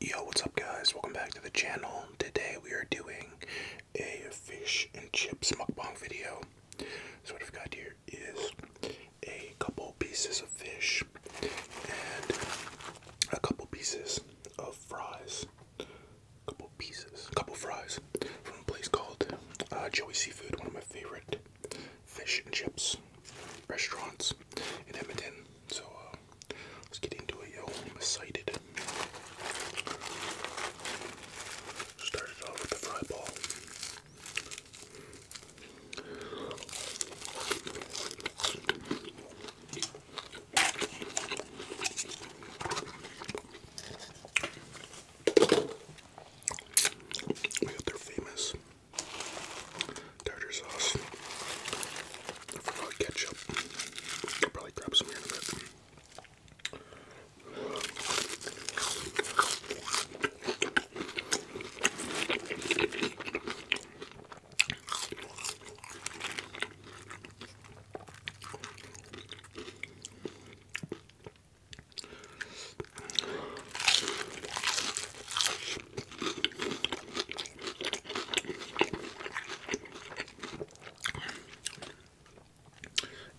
Yo, what's up guys? Welcome back to the channel. Today we are doing a fish and chips mukbang video. So what we have got here is a couple pieces of fish and a couple pieces of fries. couple pieces, couple fries from a place called uh, Joey Seafood, one of my favorite fish and chips restaurants in Edmonton. So uh, let's get into it, yo. I'm excited. Started off with the fry ball. We got their famous tartar sauce. ketchup. I'll probably grab some here in a bit.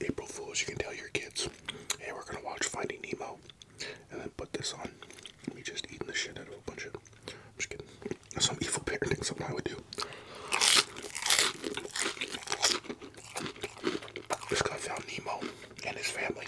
April Fools, you can tell your kids, hey, we're gonna watch Finding Nemo, and then put this on. Me just eating the shit out of a bunch of. i Some evil parenting, something I would do. This guy find Nemo and his family.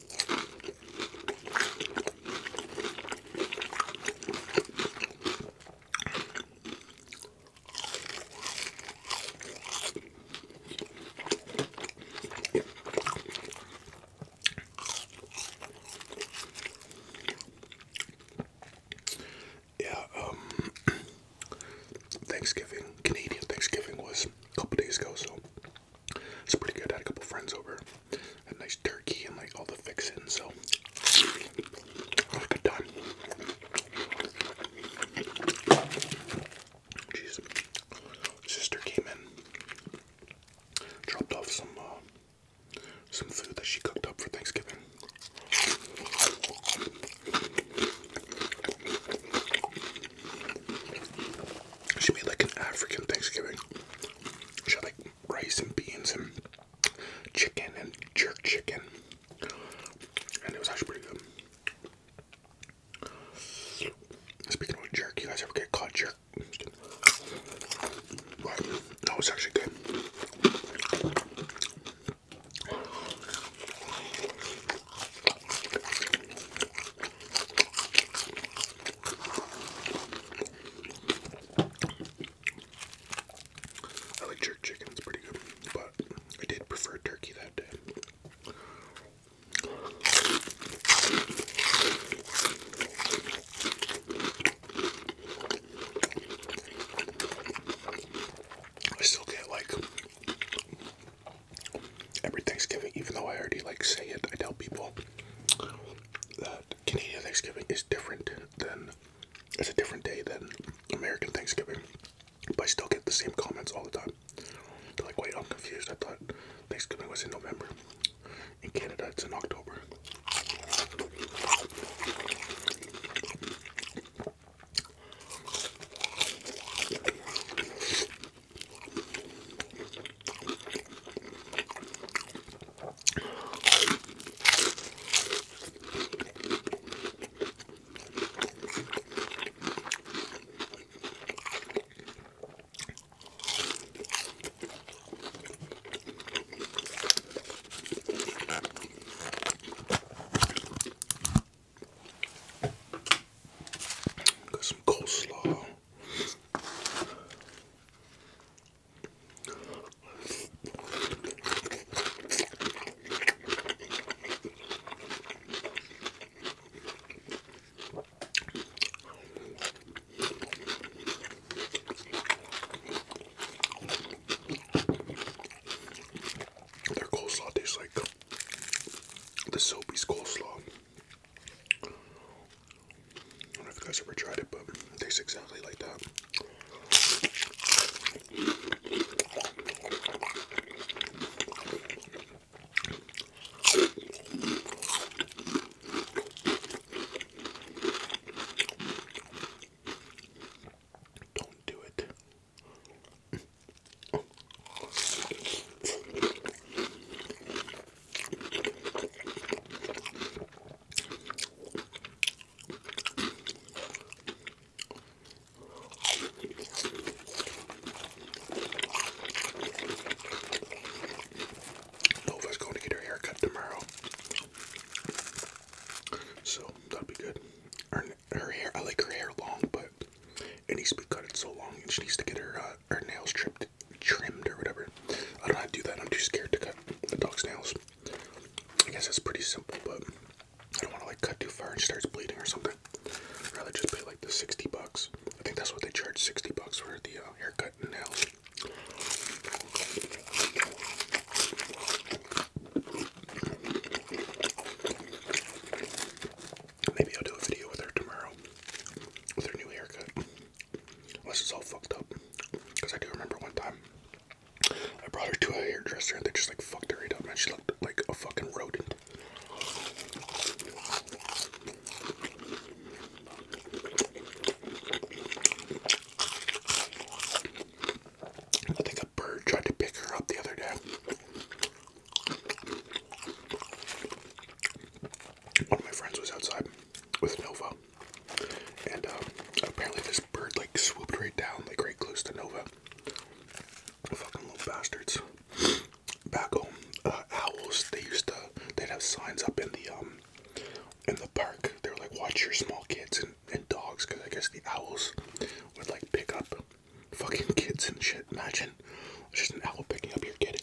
Yeah, um, Thanksgiving, Canadian Thanksgiving was a couple days ago, so it's pretty good. I had a couple friends over. Had nice turkey and like all the fixins, so good time. Sister came in, dropped off some uh, some food that she cooked up for Thanksgiving. She made like an African Thanksgiving. She had like rice and beans and chicken and jerk chicken. And it was actually pretty good. Speaking of jerk, you guys ever get caught jerk? But that was actually good. I like jerk chicken, it's pretty good, but I did prefer turkey that day. I still get like every Thanksgiving, even though I already like say it, I tell people that Canadian Thanksgiving is different than it's a different day than American Thanksgiving. But I still get the same comments all the time. They're like, wait, I'm confused. I thought Thanksgiving was in November. In Canada, it's in October. Got some coleslaw. Their coleslaw tastes like the Sobeys coleslaw. I don't know if you guys ever tried it, but it tastes exactly like that. Don't do it. Nova's going to get her hair tomorrow. So that'll be good. Her, hair, I like her hair long, but it needs to be cut in so long, and she needs to get her uh, her nails trimmed trimmed or whatever. I don't know how to do that. I'm too scared to cut the dog's nails. I guess that's pretty simple, but I don't want to like cut too far and she starts bleeding or something. I'd rather just pay like the 60 bucks. I think that's what they charge 60 bucks for the uh, haircut and nails. Maybe I'll do a video with her tomorrow with her new haircut. Unless it's all fucked up. Because I do remember one time I brought her to a hairdresser and they just like fucked her right up, man. She looked like a fucking rodent. I think a bird tried to pick her up the other day one of my friends was outside with Nova, and um, apparently this bird like swooped right down, like right close to Nova. Fucking little bastards. Back home, uh, owls. They used to. They'd have signs up in the um, in the park. They are like, "Watch your small kids and, and dogs," because I guess the owls would like pick up fucking kids and shit. Imagine it's just an owl picking up your kid.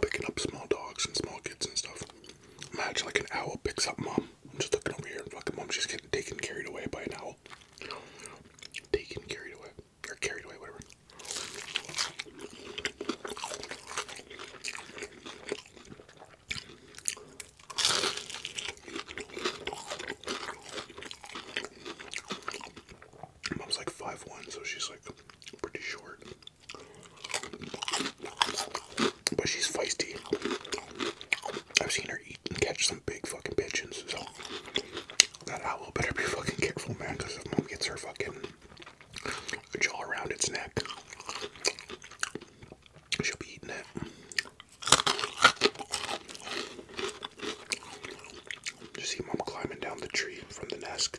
Picking up small dogs and small kids and stuff. Imagine like an owl picks up mom. I'm just looking over here and fucking mom, she's getting taken carried away by an owl taken carried away or carried away whatever Mom's like 5'1", so she's like pretty short. But she's feisty. I've seen her eat and catch some big fucking pigeons. So that owl better be fucking careful, man, because if mom gets her fucking jaw around its neck, she'll be eating it. You see mom climbing down the tree from the nest.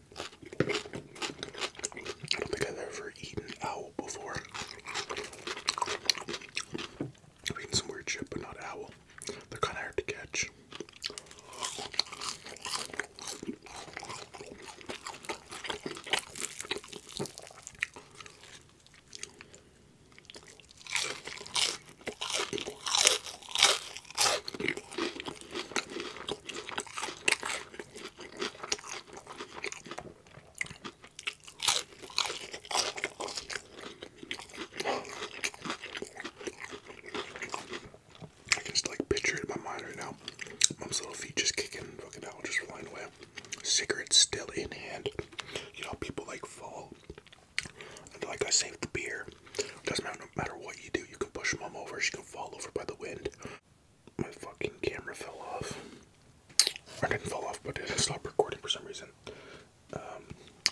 I don't think I've ever eaten owl before. I've eaten some weird shit, but not owl. They're kind of hard to catch. I can just like picture it in my mind right now. Mom's little feet just kicking, fucking out, just flying away. Cigarettes still in hand. You know, people like fall. And like I saved the beer. Doesn't matter, no matter what you do, you can push mom over. She can fall over by the wind my fucking camera fell off. I didn't fall off, but it stopped recording for some reason. Um,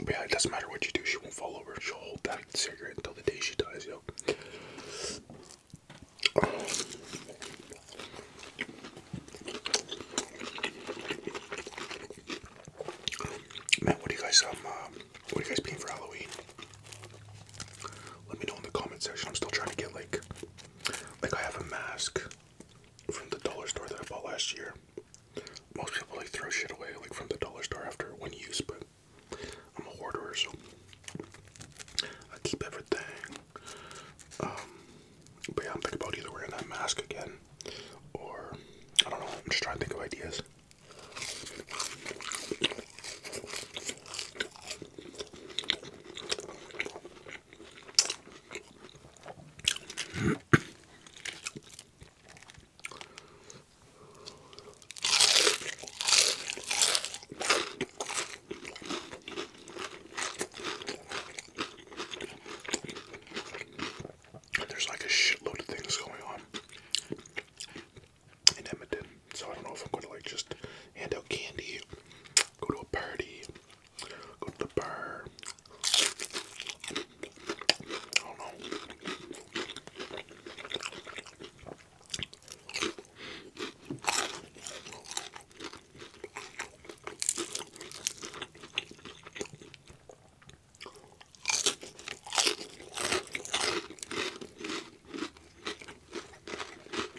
but yeah, it doesn't matter what you do, she won't fall over. She'll hold that cigarette until the day she dies, yo. Um, Man, what do you guys um, uh, what are you guys being for Halloween? Let me know in the comment section. I'm still trying to get like, like I have a mask from the dollar store that I bought last year. Most people like throw shit away like from the dollar store after one use, but I'm a hoarder, so I keep everything. Um, but yeah, I'm thinking about either wearing that mask again, or I don't know. I'm just trying to think of ideas. There's like a shitload of things going on in Edmonton. So I don't know if I'm going to like just hand out candy, go to a party, go to the bar. I don't know.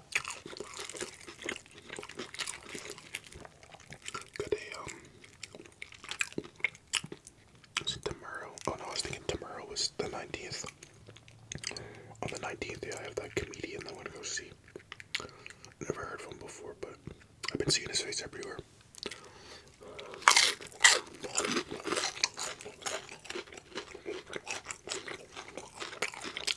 Could they, tomorrow? Oh no, I was thinking tomorrow was the 19th. On the 19th, yeah, I have that comedian that I want to go see. Never heard from him before, but I've been seeing his face everywhere.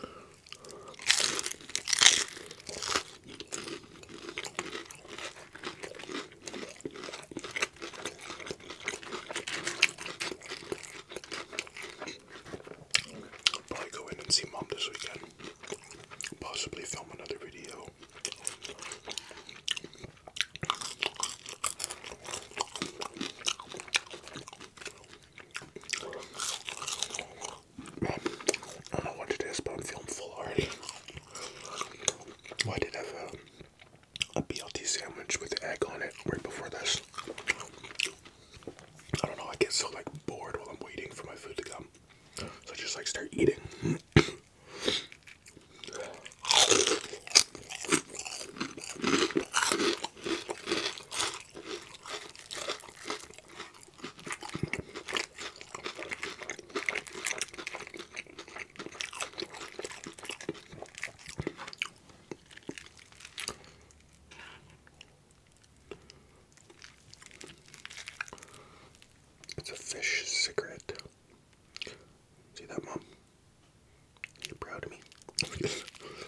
I'll probably go in and see mom this weekend. Possibly film another video. I don't know what it is, but I'm feeling full already. Well, I did have a, a BLT sandwich with egg on it right before this. I don't know, I get so like bored while I'm waiting for my food to come. So I just like start eating. It's a fish cigarette. See that, Mom? You're proud of me.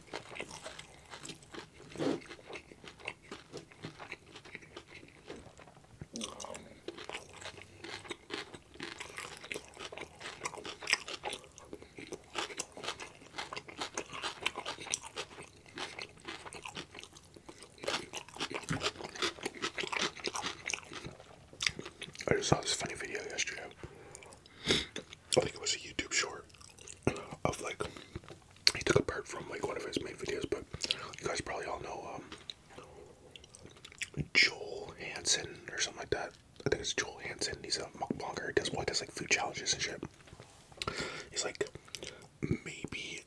I just saw this funny video yesterday I think it was a YouTube short of like he took a part from like one of his main videos, but you guys probably all know um, Joel Hansen or something like that. I think it's Joel Hansen. He's a mukbanger. He does well, he does like food challenges and shit. He's like maybe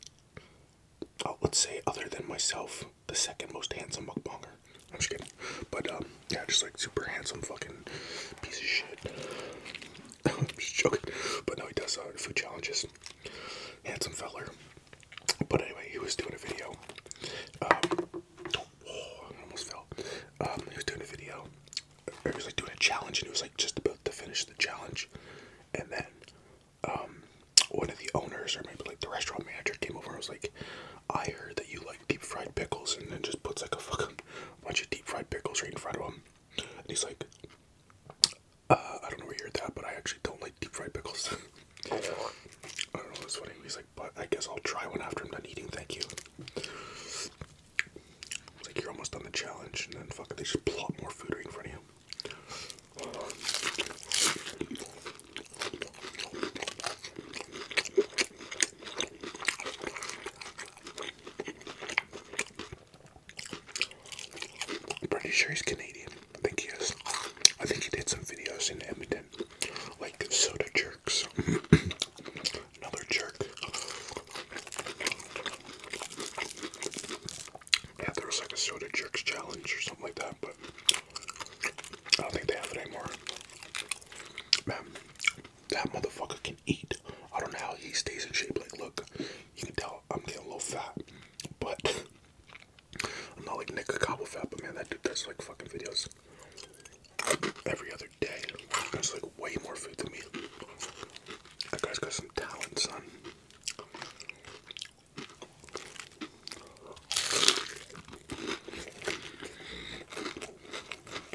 uh, let's say other than myself, the second most handsome mukbanger. I'm just kidding. But um yeah, just like super handsome fucking piece of shit. I'm just joking. But no, he does uh, food challenges. Handsome feller. But anyway, he was doing a video. Um, oh, I almost fell. Um, he was doing a video. He was like doing a challenge, and he was like just about to finish the challenge, and then um, one of the owners or maybe like the restaurant manager came over and was like, "I heard that you like deep fried pickles," and then just puts like a fucking bunch of deep fried pickles right in front of him. And he's like, uh, I don't know where you heard that, but I actually don't like deep fried pickles. I don't know, that's funny. He's like, but I guess I'll try one after I'm done eating, thank you. It's like you're almost on the challenge, and then fuck it, they just plop more food right in front of you. I'm pretty sure he's Canadian. I think he is. I think he did some videos in Edmonton, like soda jerks. Another jerk. Yeah, there was like a soda jerks challenge or something like that, but I don't think they have it anymore. That motherfucker can eat. I don't know how he stays in shape. Like, look, you can tell I'm getting a little fat, but I'm not like Nick Cobble fat. But man, that dude does like fucking videos every other day. That's like way more food than me. That guy's got some talent, son.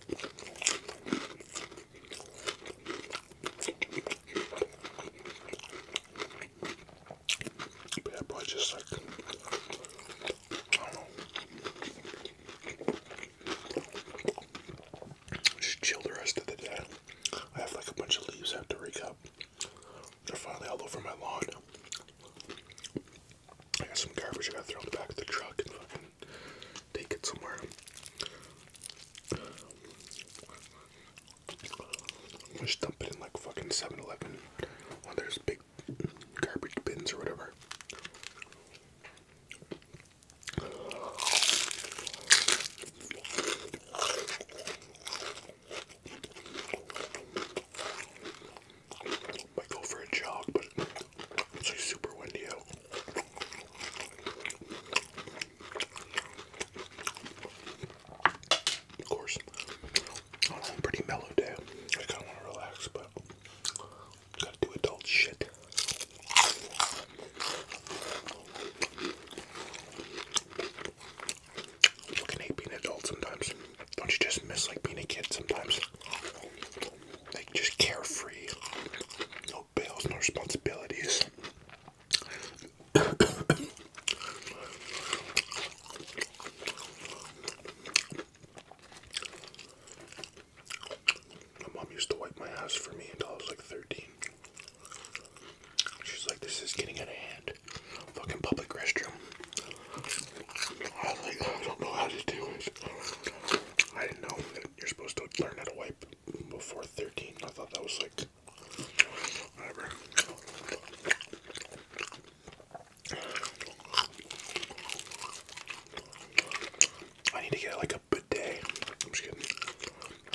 Yeah, probably just like, I chill the rest of the day. I have like a bunch of leaves I have to rake up. They're finally all over my lawn. I got some garbage I gotta throw in the back of the truck take it somewhere. Just dump it in like fucking 7 Eleven there's big garbage bins or whatever. I go for it's like super windy out. Of course, on a pretty mellow day, I kind of want to relax, but gotta do adult shit. I fucking being adult sometimes. Don't you just miss like being a kid sometimes? like just carefree, no bills, no responsibilities. My mom used to wipe my ass for me until I was like 13. She's like, this is getting out of hand. Fucking public restroom. I like, I don't know how to do this. I didn't know you're supposed to learn how to wipe before 13. I thought that was like whatever. I need to get like a bidet. I'm just kidding.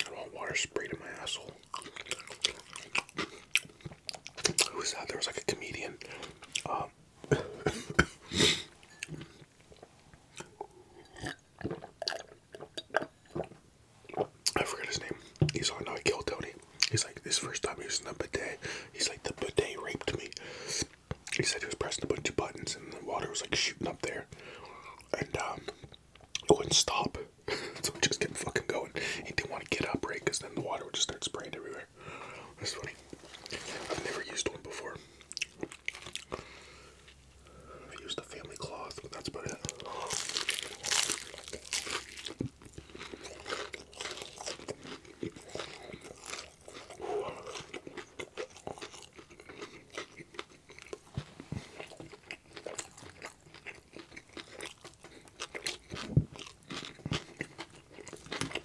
I want water sprayed in my asshole. Who was that? There was like a comedian. Um, I forgot his name. He's on, no, uh, I killed Tony. He's like, this first time using the bidet. He's like, the bidet raped me. He said he was pressing a bunch of buttons and the water was like shooting up there. And, um, it wouldn't stop. so it just kept fucking going. He didn't want to get up, right? Because then the water would just start spraying everywhere. That's funny. I've never used one before i used the family cloth, that's about it.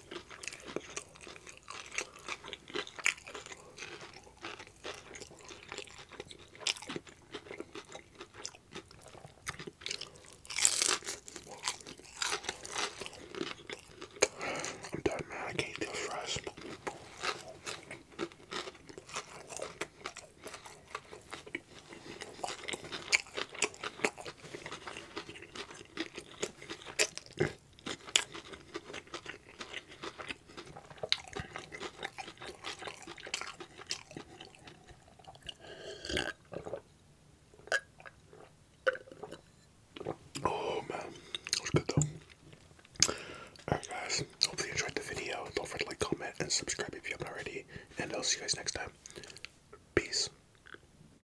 I'm done, man. I can't deal fries. Oh man, that was good though. Alright guys, hopefully you enjoyed the video. Don't forget to like, comment, and subscribe if you haven't already. And I'll see you guys next time. Peace.